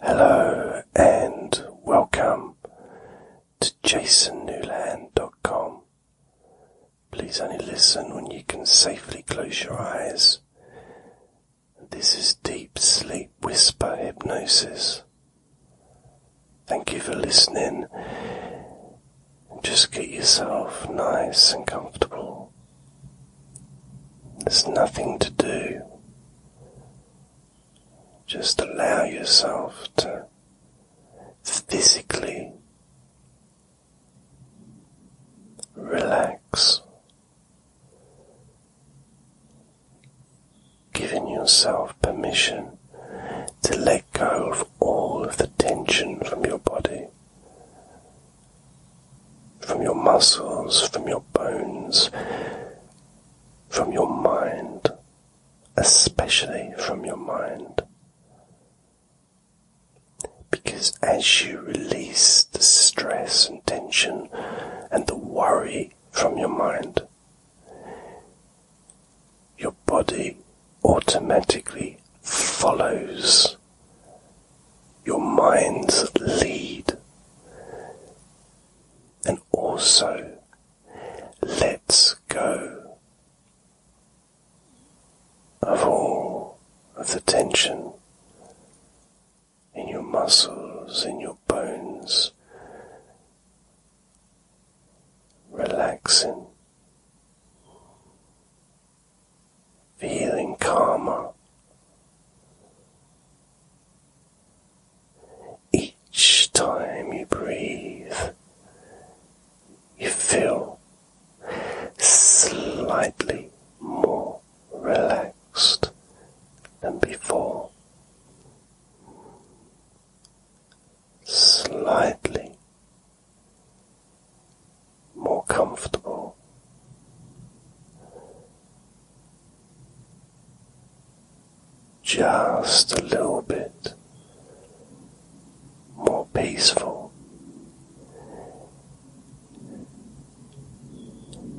Hello and welcome to jasonnewland.com. Please only listen when you can safely close your eyes. This is deep sleep whisper hypnosis. Thank you for listening. Just get yourself nice and comfortable. There's nothing to do. Just allow yourself to physically relax, giving yourself permission to let go of all of the tension from your body from your muscles, from your bones, from your mind, especially from your mind. Because as you release the stress and tension and the worry from your mind, your body automatically follows your mind's lead. And also, let's go of all of the tension in your muscles, in your bones, relaxing feeling calmer. Each time you breathe, you feel slightly more relaxed than before. Slightly more comfortable. Just a little bit more peaceful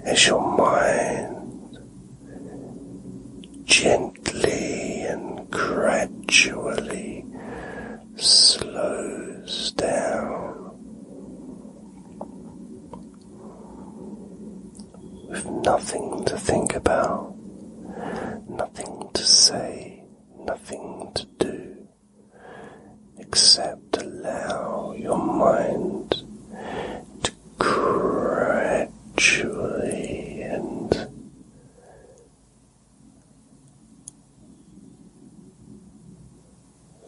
as your mind gently and gradually slows down with nothing to think about, nothing to say, nothing to do, except allow your mind to gradually and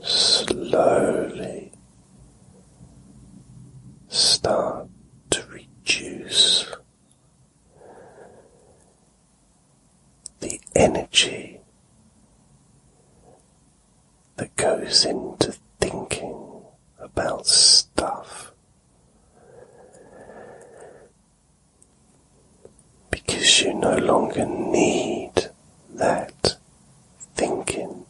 slowly start to reduce the energy that goes into thinking about stuff because you no longer need that thinking.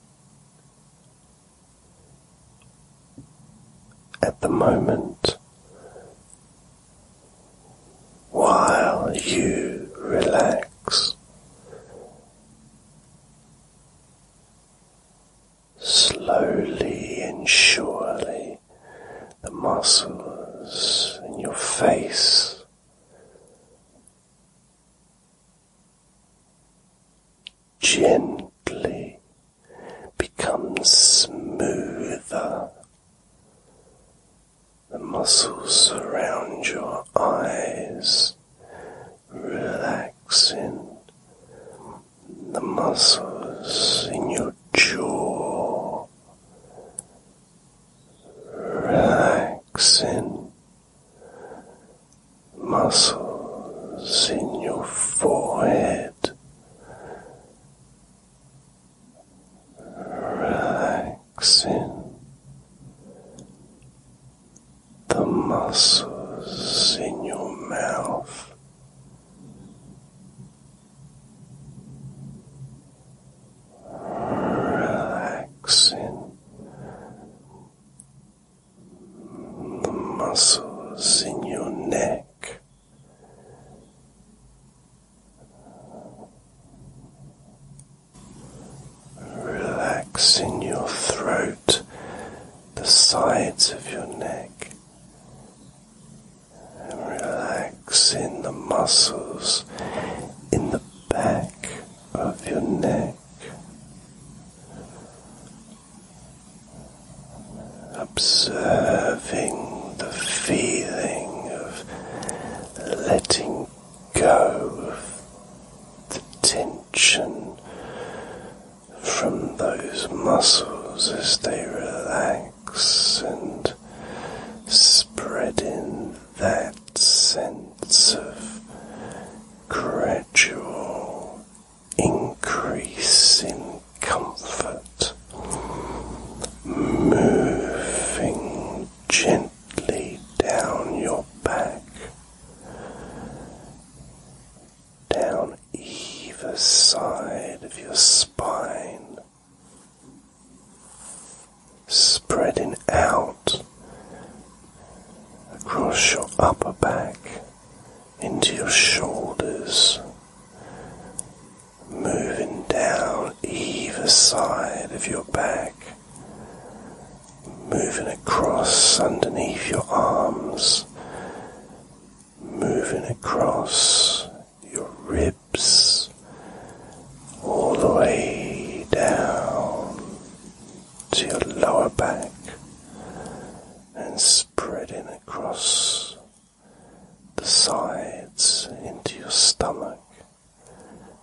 At the moment, while you relax, slowly and surely the muscles in your face. Gently becomes smoother. The muscles around your eyes relax, relaxing. The muscles in your jaw relaxing muscles in your forehead. Relaxing the muscles in your mouth, relaxing the muscles in your neck. Relaxing your throat, the sides of your neck, relaxing the muscles in the back of your neck. Observing the feeling of letting go of the tension from those muscles as they relax and spreading that sense of gradual increase in comfort, moving gently down your back down either side of your spine, spreading out across your upper back into your shoulders, moving down either side of your back. Moving across underneath your arms moving across your ribs all the way down to your lower back and spreading across the sides into your stomach,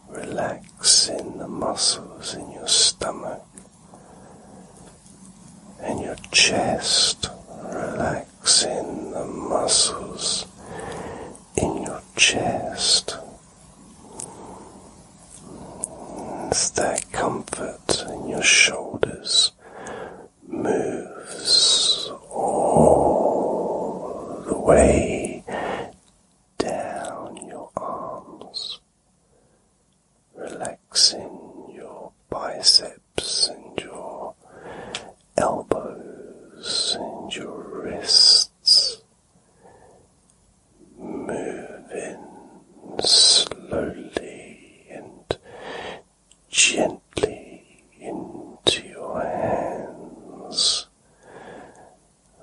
relaxing the muscles in your stomach and your chest, relaxing the muscles in your chest. It's that comfort in your shoulders moves all the way down your arms relaxing your biceps and your elbows and your wrists, moving slowly and gently into your hands.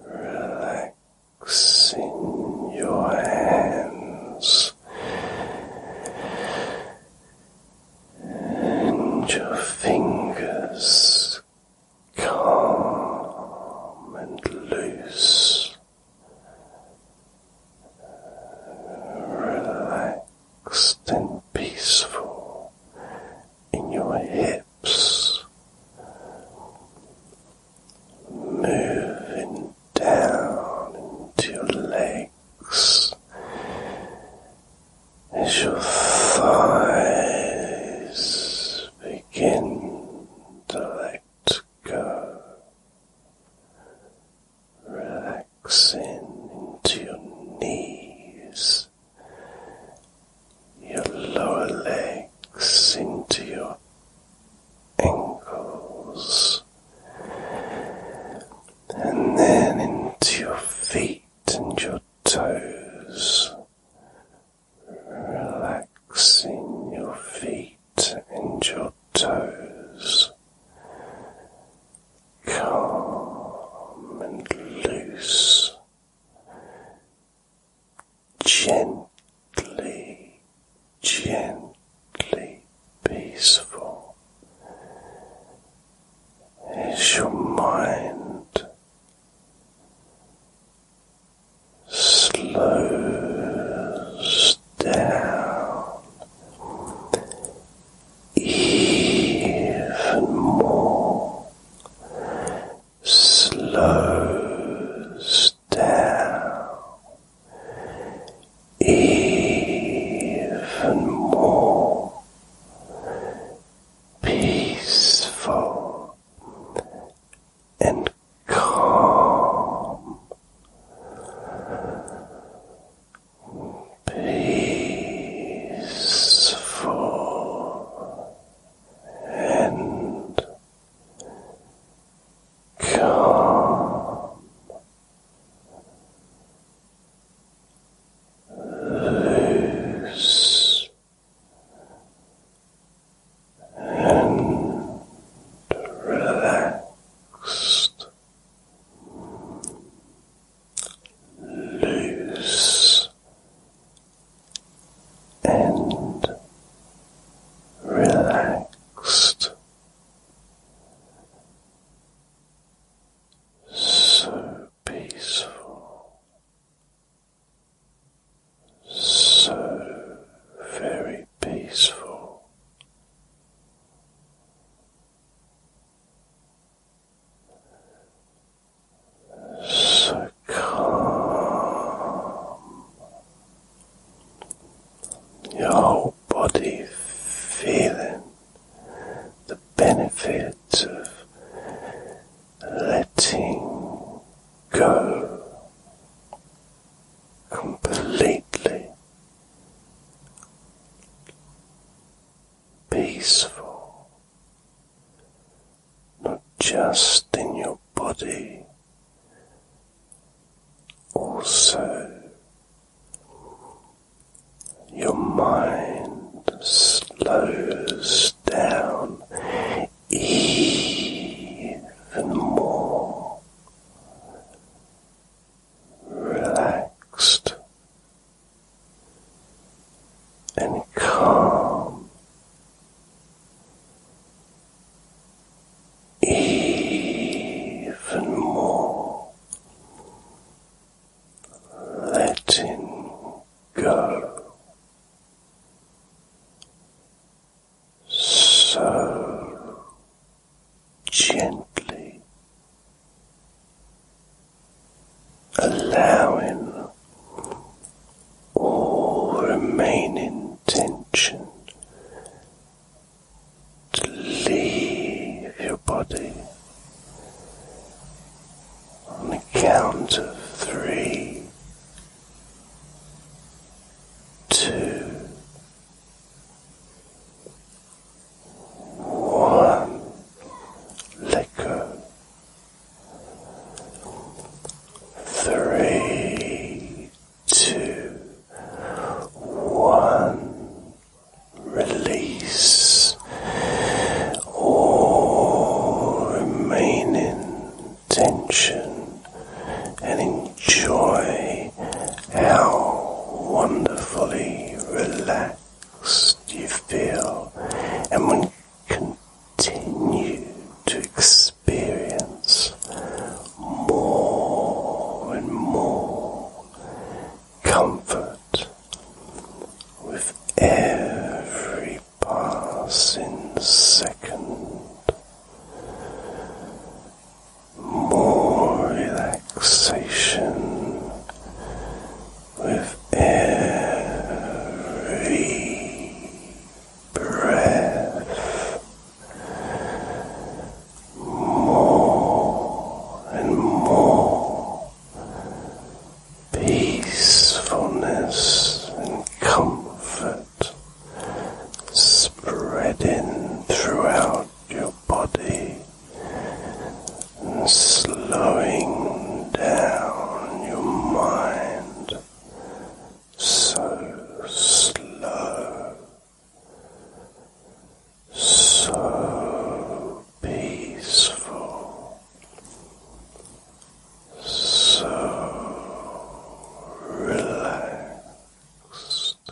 Relaxing your hands and your fingers calm and loose. Relaxed and peaceful in your hips moving down into your legs as your thighs begin to let go, relaxing into your knees, your lower legs into your ankles, and then into your feet and your toes, relaxing your feet and your toes, calm and loose gently, gently peaceful as your mind slows down even more slows down even more peaceful and calm. Peaceful and Come loose, and relaxed. Loose and relaxed. So peaceful, so very peaceful, so Your body feeling the benefit of letting go completely peaceful not just in your body, also your mind slows down even more. Relaxed and calm, even more, letting go. So gently allowing all remaining tension to leave your body on the count of three, two, one, let go. Three, two, one, release all remaining tension and enjoy how wonderfully relaxed. Do you feel and when continue to experience more and more comfort with every passing second more relaxation with every breath more and more peacefulness and comfort spreading throughout your body slowing down your mind so slow, so peaceful, so relaxed.